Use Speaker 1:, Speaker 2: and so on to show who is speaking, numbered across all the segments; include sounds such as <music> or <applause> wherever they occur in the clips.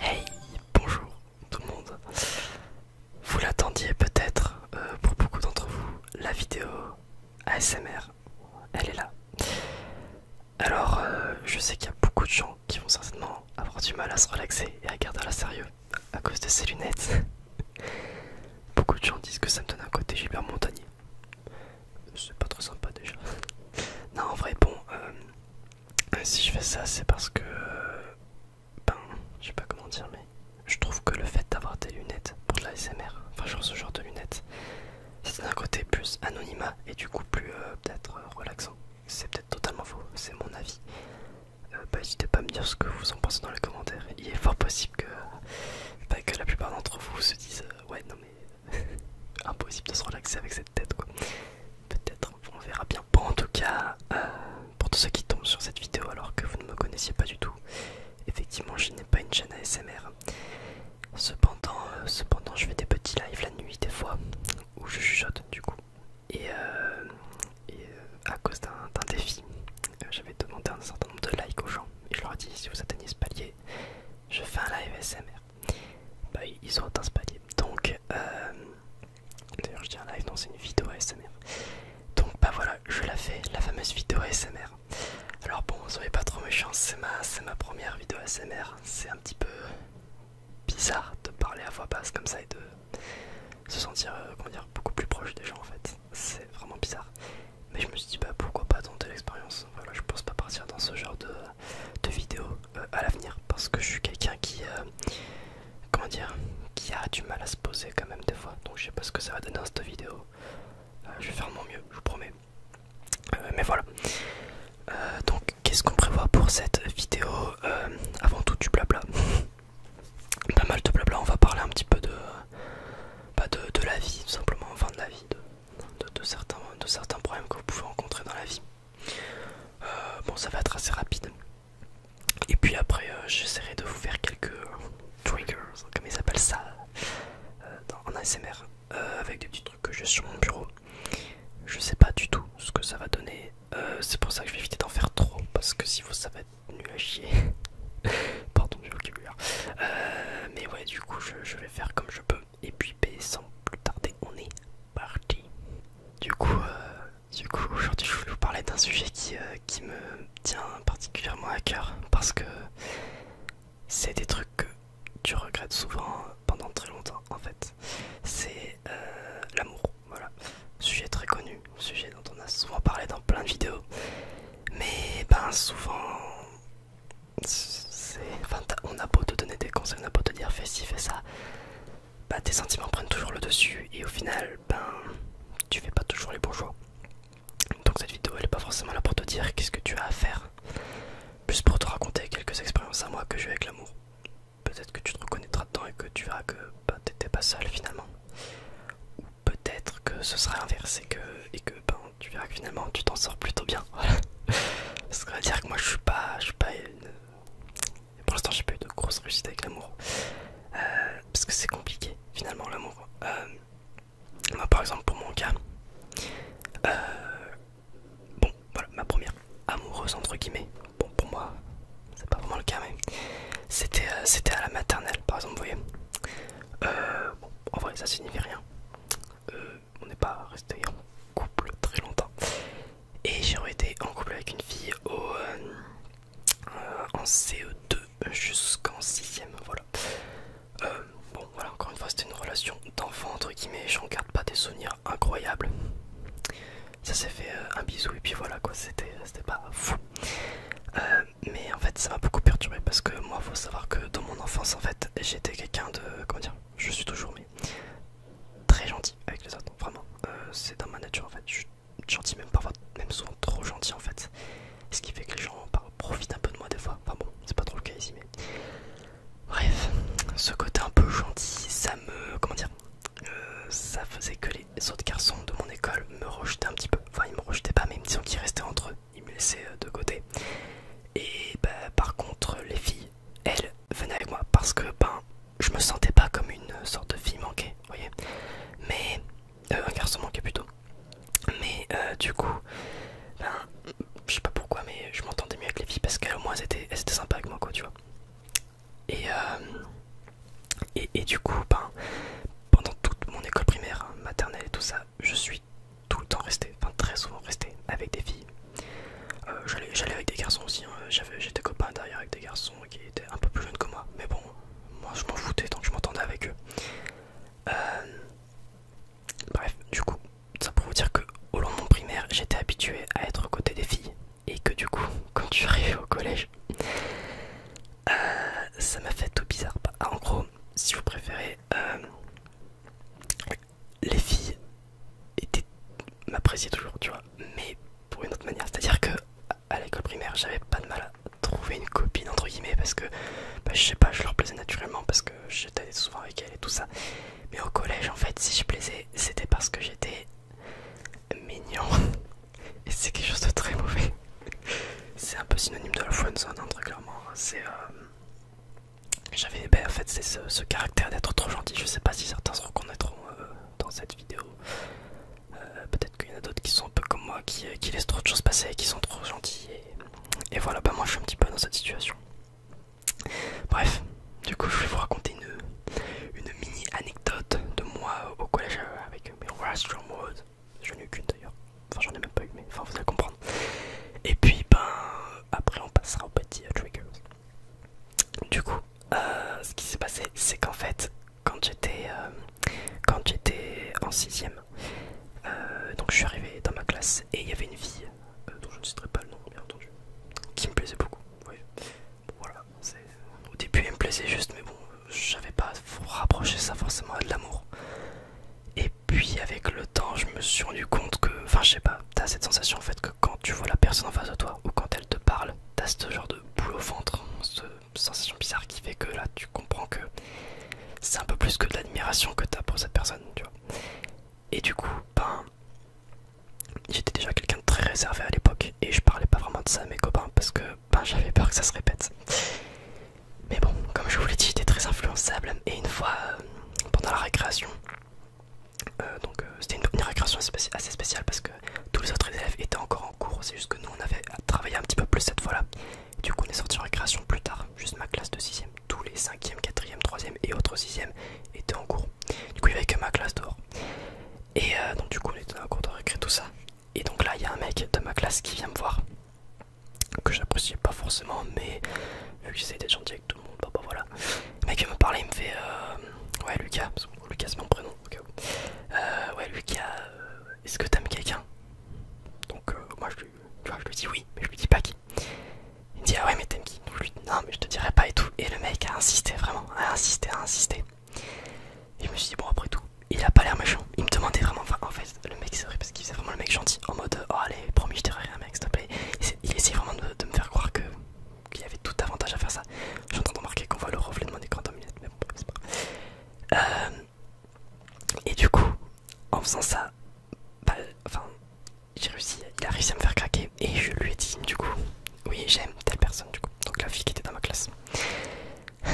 Speaker 1: Hey, bonjour tout le monde. Vous l'attendiez peut-être, euh, pour beaucoup d'entre vous, la vidéo ASMR, elle est là. Alors, euh, je sais qu'il y a beaucoup de gens qui vont certainement avoir du mal à se relaxer et à garder la sérieux à cause de ces lunettes. Beaucoup de gens disent que ça me donne un côté hyper montagné C'est pas trop sympa déjà. <laughs> non, en vrai, bon, euh, si je fais ça, c'est parce que. Euh, ben, je sais pas comment dire, mais je trouve que le fait d'avoir des lunettes pour de la SMR, enfin, genre ce genre de lunettes, c'est un côté plus anonymat et du coup plus euh, peut-être relaxant. C'est peut-être totalement faux, c'est mon avis. Bah, n'hésitez pas à me dire ce que vous en pensez dans les commentaires. Il est fort possible que euh, pas que la plupart d'entre vous se disent euh, ouais non mais <laughs> impossible de se relaxer avec cette tête quoi. Peut-être on verra bien. Bon en tout cas euh, pour tous ceux qui tombent sur cette vidéo alors que vous ne me connaissiez pas du tout, effectivement je n'ai pas une chaîne ASMR. Cependant, cependant je fais des petits lives la nuit des fois où je chuchote du coup. Et, à cause d'un défi euh, j'avais demandé un certain nombre de likes aux gens et je leur ai dit si vous atteignez ce palier, je fais un live SMR. Bah, ils ont atteint ce palier. Donc, euh, d'ailleurs, je dis un live, non, c'est une vidéo ASMR. Donc, bah voilà, je la fais, la fameuse vidéo ASMR. Alors, bon, soyez pas trop méchant c'est ma, première vidéo ASMR. C'est un petit peu bizarre de parler à voix basse comme ça et de se sentir euh, comment dire, beaucoup plus proche des gens en fait c'est vraiment bizarre. Mais je me suis dit, bah, pourquoi pas tenter l'expérience. Voilà, je pense pas partir dans ce genre de, vidéo euh, à l'avenir parce que je suis quelqu'un qui, euh, comment dire, qui a du mal à se poser quand même des fois. Donc je sais pas ce que ça va donner dans cette vidéo. Euh, je vais faire mon mieux, je vous promets. mais voilà. donc qu'est-ce qu'on prévoit pour cette vidéo Avant tout du blabla. <laughs> pas mal de blabla, on va parler un petit peu de, pas bah, de, la vie, tout simplement, enfin de la vie, de, certains, de certains problèmes que vous pouvez rencontrer dans la vie. Euh, bon, ça va être assez rapide. Et puis après, euh, j'essaierai de vous faire quelques triggers, comme ils appellent ça euh, en ASMR, avec des petits trucs que j'ai sur mon bureau. Je sais pas du tout ce que ça va donner, c'est pour ça que je vais éviter d'en faire trop, parce que si vous savez nul à chier. <laughs> Pardon du vocabulaire. Euh, mais ouais, du coup, je, vais faire comme je peux. Et puis, ben, sans plus tarder, on est parti. Du coup, euh, du coup aujourd'hui, je voulais vous parler d'un sujet euh, qui, me tient particulièrement à cœur. Parce que c'est des trucs que tu regrettes souvent pendant très longtemps, en fait. C'est l'amour voilà. Sujet très connu, sujet dont on a souvent parlé dans plein de vidéos. Mais ben souvent, enfin, on a beau te donner des conseils, on a beau te dire fais ci, fais ça, bah tes sentiments prennent toujours le dessus et au final, ben tu fais pas toujours les bons choix. Donc cette vidéo elle est pas forcément là pour te dire qu'est-ce que tu as à faire, plus pour te raconter quelques expériences à moi que j'ai avec l'amour. Peut-être que tu te reconnaîtras dedans et que tu verras que bah, t'étais pas seul finalement. Ou peut-être que ce sera inversé que, et que ben, tu verras que finalement tu t'en sors plutôt bien. <laughs> Ce qui veut dire que moi je suis pas. Je suis pas Pour l'instant j'ai pas eu de grosse réussite avec l'amour. Euh, parce que c'est compliqué finalement l'amour. Euh, moi par exemple pour mon cas. Euh, bon voilà ma première amoureuse entre guillemets. Bon pour moi c'est pas vraiment le cas, mais euh, c'était à la maternelle, par exemple, vous voyez. Euh, en vrai, ça signifie rien. Euh, on n'est pas resté en couple très longtemps. Et j'ai été en couple avec une fille au, en CE2 jusqu'en 6ème, voilà. bon, voilà, encore une fois, c'était une relation d'enfant, entre guillemets, j'en garde pas des souvenirs incroyables ça s'est fait euh, un bisou et puis voilà quoi c'était euh, pas fou euh, mais en fait ça m'a beaucoup perturbé parce que moi faut savoir que dans mon enfance en fait j'étais quelqu'un de comment dire je suis toujours mais très gentil avec les autres vraiment c'est dans ma nature en fait je suis gentil même parfois même souvent trop gentil en fait ce qui fait que les gens bah, profitent un peu de moi des fois enfin bon c'est pas trop le cas ici mais bref ce côté un peu gentil ça me comment dire euh, ça faisait que les autres garçons de mon école me rejetaient un petit peu. Enfin, ils me rejetaient pas, mais disaient qu'ils restaient entre eux, ils me laissaient euh, de côté. Et bah, par contre, les filles, elles venaient avec moi parce que ben, je me sentais pas comme une sorte de fille manquée, voyez. Mais euh, un garçon manquait plutôt. Mais du coup, ben, je sais pas pourquoi, mais je m'entendais mieux avec les filles parce qu'elles au moins étaient, sympas avec moi, quoi, tu vois. Euh, et, et, du coup, ben, pendant toute mon école primaire, maternelle et tout ça, je suis tout le temps resté, enfin très souvent resté avec des filles. Euh, j'allais avec des garçons aussi, hein. j'étais copain derrière avec des garçons qui étaient un peu plus jeunes que moi, mais bon, moi je m'en foutais tant que je m'entendais avec eux. Euh, bref, du coup, ça pour vous dire que au long de mon primaire, j'étais habitué à être côté des filles et que du coup quand tu arrives au collège euh, ça m'a fait tout bizarre bah, en gros si vous préférez euh, les filles étaient m'appréciaient toujours tu vois mais pour une autre manière c'est à dire que à l'école primaire j'avais pas de mal à trouver une copine entre guillemets parce que bah, je sais pas je leur plaisais naturellement parce que j'étais souvent avec elles et tout ça mais au collège en fait si je plaisais c'était parce que j'étais mignon <laughs> et c'est quelque chose de très mauvais. C'est un peu synonyme de la friendzone, hein, clairement. Hein. C'est. Euh, j'avais. Ben, en fait, c'est ce, caractère d'être trop gentil. Je sais pas si certains se reconnaîtront euh, dans cette vidéo. Euh, peut-être qu'il y en a d'autres qui sont un peu comme moi, qui, laissent trop de choses passer et qui sont trop gentils. Et, voilà, bah moi je suis un petit peu dans cette situation. Bref, du coup, je vais vous raconter une, une mini anecdote de moi au collège euh, avec mes Rastron J'en Je n'ai eu qu'une d'ailleurs. Enfin, j'en ai même pas eu, mais vous allez comprendre. Et puis, ben, après, on passera aux petit euh, Triggers. Du coup, euh, ce qui s'est passé, c'est qu'en fait, quand j'étais j'étais en 6ème, donc je suis arrivé dans ma classe et il y avait une fille, dont je ne citerai pas le nom, bien entendu, qui me plaisait beaucoup voilà, au début il me plaisait juste, mais bon, j'avais pas rapproché ça forcément à de l'amour. Et puis avec le temps, je me suis rendu compte que, enfin je sais pas, t'as cette sensation en fait que quand tu vois la personne en face de toi ou quand elle te parle, t'as ce genre de boule au ventre, cette sensation bizarre qui fait que là tu comprends que c'est un peu plus que de l'admiration que t'as pour cette personne, tu vois. Et du coup, ben, j'étais déjà quelqu'un de très réservé à l'époque et je parlais pas vraiment de ça à mes copains parce que ben, j'avais peur que ça se répète. Mais bon, comme je vous l'ai dit, j'étais très influençable et une fois euh, pendant la récréation, euh, donc euh, c'était une, une récréation assez spéciale parce que tous les autres élèves étaient encore en cours, c'est juste que nous on avait travaillé un petit peu plus cette fois-là. Du coup, on est sorti en récréation plus tard, juste ma classe de 6ème, tous les 5e, 4e, 3e et autres 6e étaient en cours. Du coup, il n'y avait que ma classe dehors. Et euh, donc, du coup, on était en un cours de récré, tout ça. Et donc là, il y a un mec de ma classe qui vient me voir, que j'apprécie pas forcément, mais vu que j'essaie d'être gentil avec tout le monde, bah, bah voilà. Le mec vient me parler, il me fait euh, Ouais, Lucas, Lucas c'est mon prénom, euh, ouais, Lucas, est-ce que t'aimes quelqu'un Donc, moi je lui, je lui dis oui, mais je lui dis pas qui. Il me dit Ah ouais, mais t'aimes qui je lui dis Non, mais je te dirai pas et tout. Et le mec a insisté, vraiment, a insisté, a insisté. Et je me suis dit, bon, après tout, il a pas l'air méchant. Il me demandait vraiment, enfin, en fait, le mec, c'est vrai, parce qu'il faisait vraiment le mec gentil, en mode, oh, allez, promis, je dirai rien, mec, s'il te plaît. Il essayait vraiment de, me faire croire que qu'il y avait tout avantage à faire ça. J'entends remarquer qu'on voit le reflet de mon écran dans mes mais bon, c'est pas. Euh, et du coup, en faisant ça, bah, enfin, j'ai réussi, il a réussi à me faire craquer et je lui ai dit, du coup, oui j'aime telle personne du coup donc la fille qui était dans ma classe <laughs>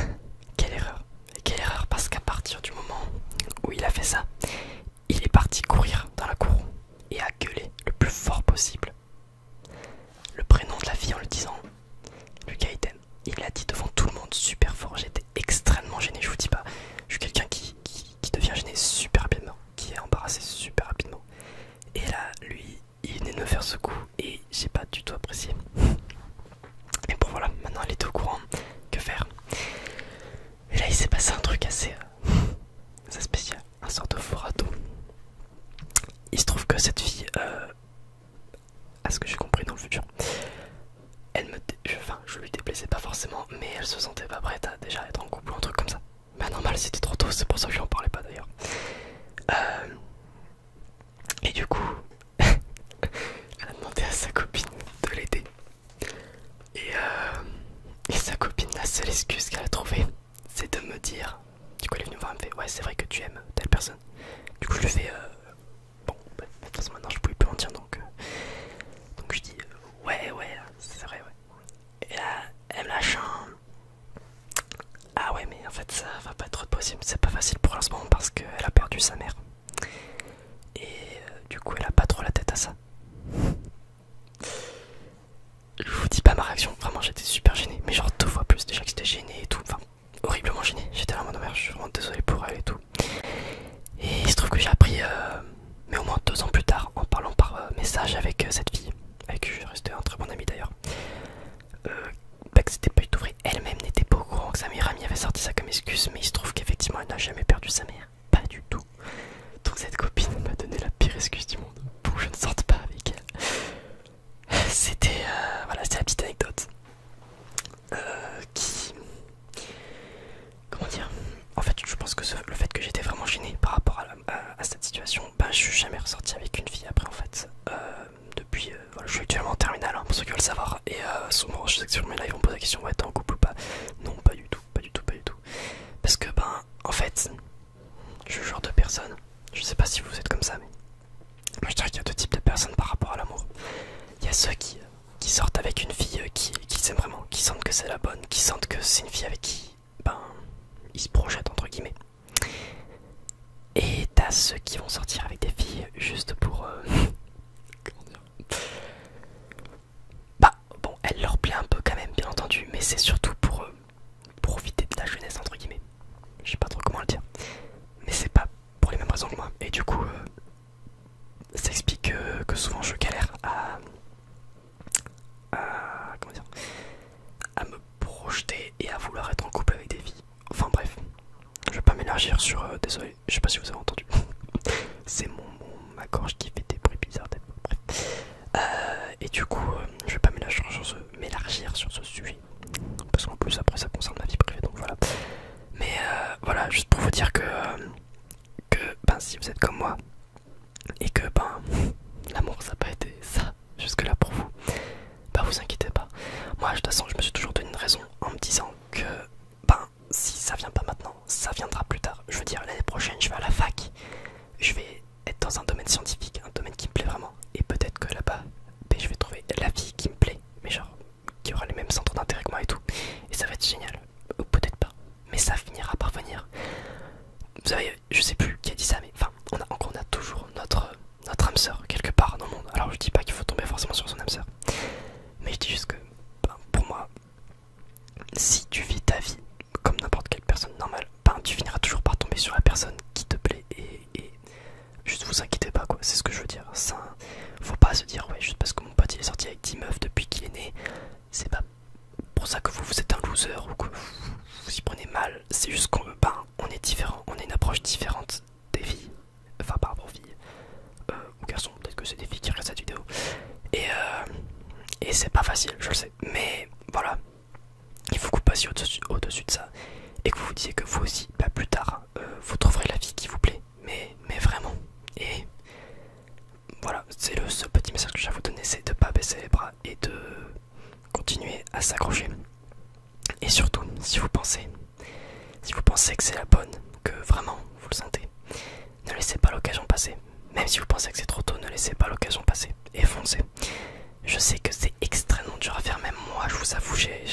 Speaker 1: quelle erreur quelle erreur parce qu'à partir du moment où il a fait ça il est parti courir dans la cour et a gueulé le plus fort possible le prénom de la fille en le disant Lucas il l'a dit devant tout le monde super fort j'étais extrêmement gêné je vous dis pas je suis quelqu'un qui, qui devient gêné super rapidement qui est embarrassé super rapidement et là lui il venait de faire ce coup et j'ai pas du tout apprécié. Et bon voilà, maintenant elle était au courant, que faire Et là il s'est passé un truc assez, euh, <laughs> spécial, un sort de forato. Il se trouve que cette fille, euh, à ce que j'ai compris dans le futur, elle me, je, enfin, je lui déplaisais pas forcément, mais elle se sentait pas prête à déjà être en couple ou un truc comme ça. Bah normal c'était trop tôt, c'est pour ça que j'en parlais pas d'ailleurs. Euh, et du coup, <laughs> elle a demandé à sa copine de l'aider. Et, euh, sa copine, la seule excuse qu'elle a trouvée, c'est de me dire. Du coup elle est venue voir, fait ouais c'est vrai que tu aimes telle personne. Du coup je lui fais euh, bon bah, de toute maintenant je pouvais plus mentir donc donc je dis ouais ouais c'est vrai ouais. Et là elle me lâche un ah ouais mais en fait ça va pas être possible, c'est pas facile pour l'instant parce qu'elle a perdu sa mère. Et euh, du coup elle a pas trop la tête à ça. Je vous dis pas ma réaction, vraiment j'étais super gêné, mais genre deux fois plus déjà que j'étais gêné et tout, enfin horriblement gêné, j'étais là en de oh je suis vraiment désolé pour elle et tout. Et il se trouve que j'ai appris, euh, mais au moins deux ans plus tard, en parlant par euh, message avec cette fille, avec qui je resté un très bon ami d'ailleurs, euh, que c'était pas du tout Elle-même n'était pas au courant que sa mère amie avait sorti ça comme excuse, mais il se trouve qu'effectivement elle n'a jamais perdu sa mère, pas du tout. Donc cette copine m'a donné la pire excuse du monde pour que je ne sorte pas avec elle. <laughs> C'était euh, voilà, la petite anecdote euh, qui comment dire en fait je pense que le fait que j'étais vraiment gêné par rapport à cette situation bah, je suis jamais ressorti avec une fille après en fait. Euh, depuis, euh, je suis actuellement en terminale hein, pour ceux qui veulent savoir. Et euh, souvent, je sais que sur mes lives, on me pose la question ouais, t'es en couple ou pas Non, pas du tout, pas du tout, pas du tout. Parce que, ben, en fait, je suis le genre de personne. Je sais pas si vous êtes comme ça, mais moi je dirais qu'il y a deux types de personnes par rapport à l'amour. Il y a ceux qui, sortent avec une fille euh, qui, qui vraiment, qui sentent que c'est la bonne, qui sentent que c'est une fille avec qui ben, ils se projettent entre guillemets. Et t'as ceux qui vont sortir avec des filles juste pour. Euh, <laughs> comment dire Bah, bon, elle leur plaît un peu quand même, bien entendu, mais c'est surtout pour euh, profiter de la jeunesse, entre guillemets. Je sais pas trop comment le dire, mais c'est pas pour les mêmes raisons que moi. Et du coup, euh, ça explique que souvent je galère à, à, à me projeter et à vouloir être en couple avec des filles. Enfin bref, je vais pas m'élargir sur. Euh, désolé, je sais pas si vous avez entendu. <laughs> C'est mon, ma gorge qui fait des bruits bizarres. Euh, et du coup, euh, je vais pas m'élargir sur, ce sujet. Parce qu'en plus, après, ça concerne ma vie privée, donc voilà. Mais voilà, juste pour vous dire que, que ben, si vous êtes comme moi, et que ben <laughs> l'amour ça n'a pas été ça jusque là pour vous, bah vous inquiétez pas. Moi de toute façon je me suis toujours donné une raison en me disant que ben si ça vient pas maintenant, ça viendra plus tard. Je veux dire l'année prochaine je vais à la fac, je vais être dans un domaine scientifique, un domaine qui me plaît vraiment, et peut-être que là-bas ben, je vais trouver la vie qui me plaît, mais genre qui aura les mêmes centres d'intérêt que moi et tout, et ça va être génial, ou peut-être pas, mais ça finira par venir. Vous savez, je sais plus qui a dit ça, mais enfin, on a, on a toujours notre, notre âme sœur quelque part dans le monde. Alors je dis pas qu'il faut tomber forcément sur son âme sœur, mais je dis juste que ben, pour moi, si tu vis ta vie comme n'importe quelle personne normale, ben, tu finiras toujours par tomber sur la personne qui te plaît et, juste vous inquiétez pas quoi, c'est ce que je veux dire. Ça, faut pas se dire ouais, juste parce que mon pote est sorti avec 10 meufs depuis qu'il est né, c'est pas pour ça que vous, vous êtes un loser ou que vous, y prenez mal. C'est juste qu'on ben, on est différent, on a une approche différente des filles. Enfin, par rapport aux filles euh, ou garçons, peut-être que c'est des filles qui regardent cette vidéo. Euh, et, c'est pas facile, je le sais. Mais voilà, il faut que vous passiez au-dessus de ça et que vous vous disiez que vous aussi, ben, plus tard, euh, vous trouverez la vie qui vous plaît. Mais, mais vraiment. Et voilà, c'est le seul petit message que je vous donner, c'est de pas baisser les bras et de continuer à s'accrocher. Et surtout, si vous pensez, si vous pensez que c'est la bonne, que vraiment vous le sentez, ne laissez pas l'occasion passer. Même si vous pensez que c'est trop tôt, ne laissez pas l'occasion passer et foncez. Je sais que c'est extrêmement dur à faire, même moi je vous avoue, j'ai...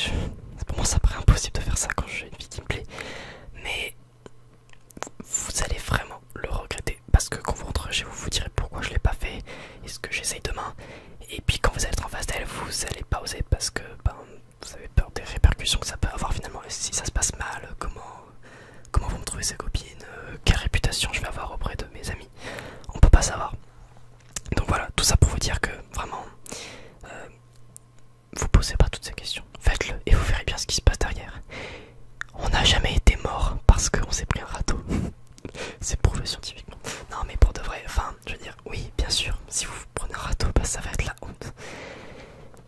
Speaker 1: Pour moi ça paraît impossible de faire ça quand j'ai une vie qui me plaît. Mais vous allez vraiment le regretter parce que quand vous rentrez chez vous, vous direz pourquoi je l'ai pas fait est ce que j'essaye demain. Et puis quand vous allez être en face d'elle, vous allez pas oser parce que ben, vous avez peur des répercussions que ça peut avoir finalement. si ça se passe mal, comment, comment vont me trouver ces copines, euh, quelle réputation je vais avoir auprès de mes amis, on peut pas savoir. Donc voilà, tout ça pour vous dire que vraiment, euh, vous posez pas toutes ces questions faites-le et vous verrez bien ce qui se passe derrière. On n'a jamais été mort parce qu'on s'est pris un râteau. <laughs> C'est prouvé scientifiquement. Non mais pour de vrai, enfin, je veux dire, oui, bien sûr, si vous, vous prenez un râteau, bah, ça va être la honte.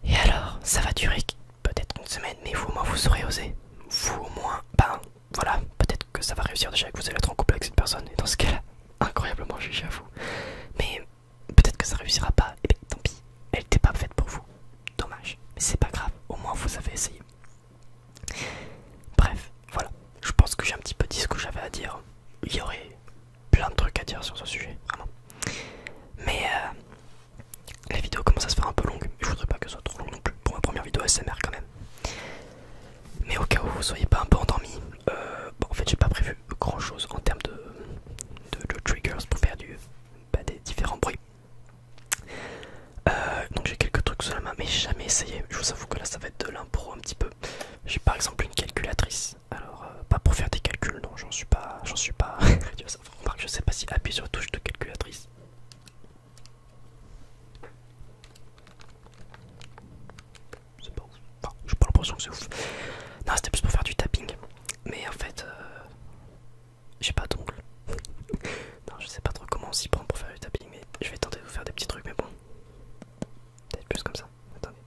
Speaker 1: Et alors, ça va durer peut-être une semaine, mais vous au moins vous aurez osé. Vous au moins, ben voilà, peut-être que ça va réussir déjà que vous allez être en couple avec cette personne. Et dans ce cas-là, incroyablement jugé à vous. Mais peut-être que ça réussira pas, et eh ben, tant pis, elle n'était pas faite pour vous. Dommage, mais c'est pas grave, au moins vous avez essayé. Bref, voilà, je pense que j'ai un petit peu dit ce que j'avais à dire. Il y aurait plein de trucs à dire sur ce sujet, vraiment. Mais euh, la vidéo commence à se faire un peu longue, je voudrais pas que ce soit trop long non plus pour ma première vidéo SMR quand même. Mais au cas où vous soyez pas un peu endormi, euh, bon, en fait j'ai pas prévu grand chose en termes de, triggers pour faire bah, des différents bruits. Euh, donc j'ai quelques trucs sur la main mais jamais essayé. Je vous avoue que là ça va être de l'impro un petit peu. J'ai par exemple une calculatrice. Alors euh, pas pour faire des calculs, non j'en suis pas. J'en suis pas. <laughs> je sais pas si appuyer sur la touche de calculatrice. C'est pas Enfin, j'ai pas l'impression que c'est ouf. Non c'était plus pour faire du tapping. Mais en fait euh, j'ai pas d'ongles. <laughs> non, je sais pas trop comment on s'y prend pour faire du tapping, mais je vais tenter de vous faire des petits trucs, mais bon. Peut-être plus comme ça. Attendez.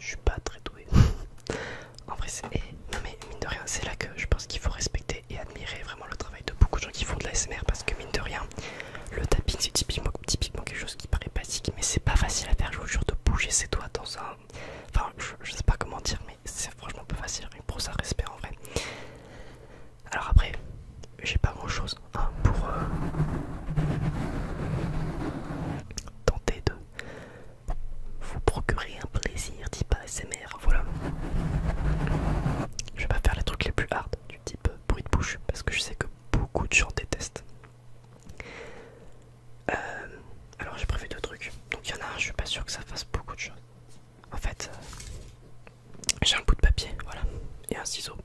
Speaker 1: Je suis pas très doué <laughs> En vrai, c'est. Non, mais mine de rien, c'est là que je pense qu'il faut respecter et admirer vraiment le travail de beaucoup de gens qui font de la SMR parce que, mine de rien, le tapping c'est typiquement, quelque chose qui paraît basique, mais c'est pas facile à faire. Je vous jure de bouger ses doigts dans un. Enfin, je, sais pas comment dire, mais c'est franchement pas facile. Pour ça, respect en vrai. Alors, après, j'ai pas grand chose hein, pour. Euh, tenter de vous procurer un plaisir pas ASMR, voilà. Je vais pas faire les trucs les plus hard du type euh, bruit de bouche parce que je sais que beaucoup de gens détestent. Euh, alors j'ai prévu deux trucs. Donc il y en a un, je suis pas sûr que ça fasse beaucoup de choses. En fait, euh, j'ai un bout de papier, voilà, et un ciseau.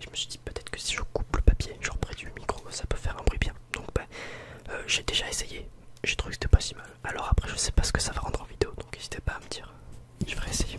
Speaker 1: Je me suis dit peut-être que si je coupe le papier, genre près du micro, ça peut faire un bruit bien. Donc bah, j'ai déjà essayé j'ai trouvé que c'était pas si mal. Alors après, je sais pas ce que ça va rendre en vidéo, donc n'hésitez pas à me dire. Je vais essayer.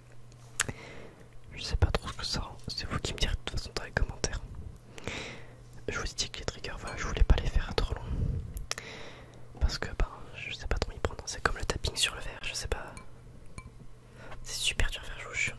Speaker 1: Je sais pas trop ce que ça c'est vous qui me direz de toute façon dans les commentaires. Je vous dis que les triggers, voilà, je voulais pas les faire trop long Parce que bah, je sais pas trop y prendre, c'est comme le tapping sur le verre, je sais pas. C'est super dur à faire, je vous jure.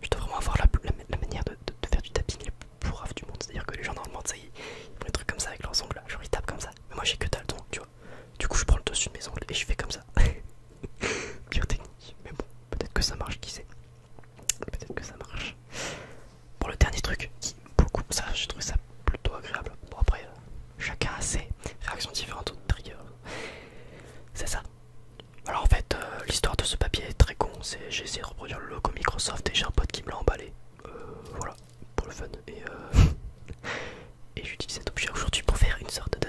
Speaker 1: Je dois vraiment avoir la, manière de, faire du tapping plus raf du monde. C'est-à-dire que les gens monde, ça, est, ils font des trucs comme ça avec leurs ongles. Genre ils tapent comme ça. Mais moi j'ai que dalle tu vois. Du coup, je prends le dessus de mes ongles et je fais comme ça. <laughs> Pire technique. Mais bon, peut-être que ça marche, qui sait. Peut-être que ça marche. Pour le dernier truc, qui beaucoup, ça, je trouve ça plutôt agréable. Bon après, euh, chacun a ses réactions différentes au C'est ça. Alors en fait, euh, l'histoire de ce papier est très con, j'ai essayé de reproduire le logo Microsoft et j'ai un pote qui me l'a emballé. Euh, voilà, pour le fun. Euh, <laughs> et, j'utilise cet objet aujourd'hui pour faire une sorte de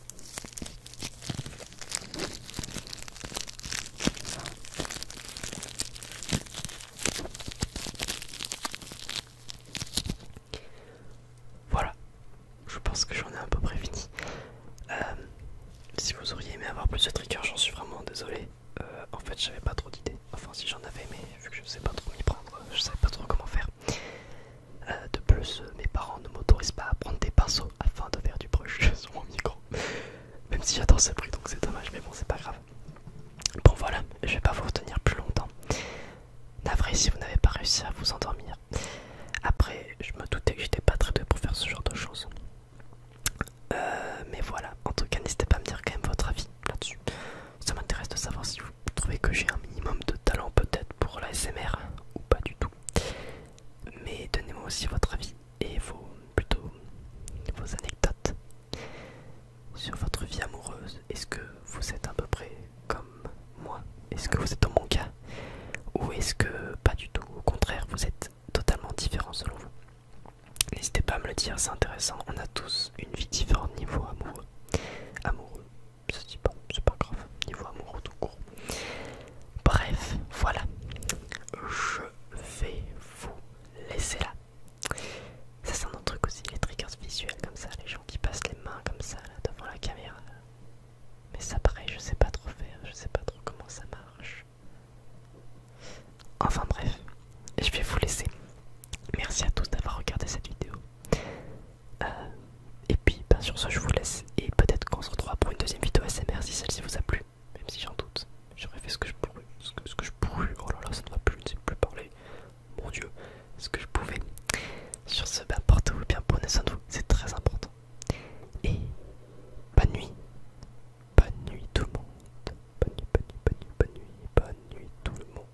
Speaker 1: Voilà, je pense que j'en ai à peu près fini. Euh, si vous auriez aimé avoir plus de triggers, j'en suis vraiment désolé. Euh, en fait, j'avais pas trop d'idées. Enfin, si j'en avais, mais vu que je sais pas trop m'y prendre, je savais pas trop comment faire. Euh, de plus, euh, mes parents ne m'autorisent pas à prendre des pinceaux afin de faire du brush <laughs> sur mon micro. Même si j'adore ce bruit, donc c'est dommage, mais bon, c'est pas grave. Bon, voilà, je vais pas vous retenir plus longtemps. Navré si vous n'avez pas réussi à vous endormir. Après, je me doutais que j'étais pas très doué pour faire ce genre de choses. Euh, mais voilà, en tout cas, n'hésitez pas à me dire quand même votre avis là-dessus. Ça m'intéresse de savoir si vous vous trouvez que j'ai un minimum de talent peut-être pour la SMR ou pas du tout. Mais donnez-moi aussi votre avis et vos plutôt vos anecdotes sur votre vie amoureuse. Est-ce que vous êtes à peu près comme moi Est-ce que vous êtes dans mon cas Ou est-ce que pas du tout Au contraire, vous êtes totalement différent selon vous. N'hésitez pas à me le dire, c'est intéressant. On a tous une vie différente niveau amoureux. Amoureux, c'est pas grave, niveau amoureux tout court. Bref, voilà, je vais vous laisser là. Ça c'est un autre truc aussi, les triggers visuels comme ça, les gens qui passent les mains comme ça devant la caméra. Mais ça paraît, je sais pas trop faire, je sais pas trop comment ça marche. Enfin bref, je vais vous laisser. Merci à tous d'avoir regardé cette vidéo. Euh, et puis sur ce je vous laisse et peut-être qu'on se retrouvera pour une deuxième vidéo S.M.R. si celle-ci vous a plu, même si j'en doute, j'aurais fait ce que je pouvais ce que, je pourrais, oh là là ça ne va plus, je ne sais plus parler, mon dieu, ce que je pouvais. Sur ce, ben, portez-vous bien, prenez soin de vous, c'est très important. Et bonne nuit, bonne nuit tout le monde, bonne nuit, bonne nuit, bonne nuit, bonne nuit, bonne nuit tout le monde.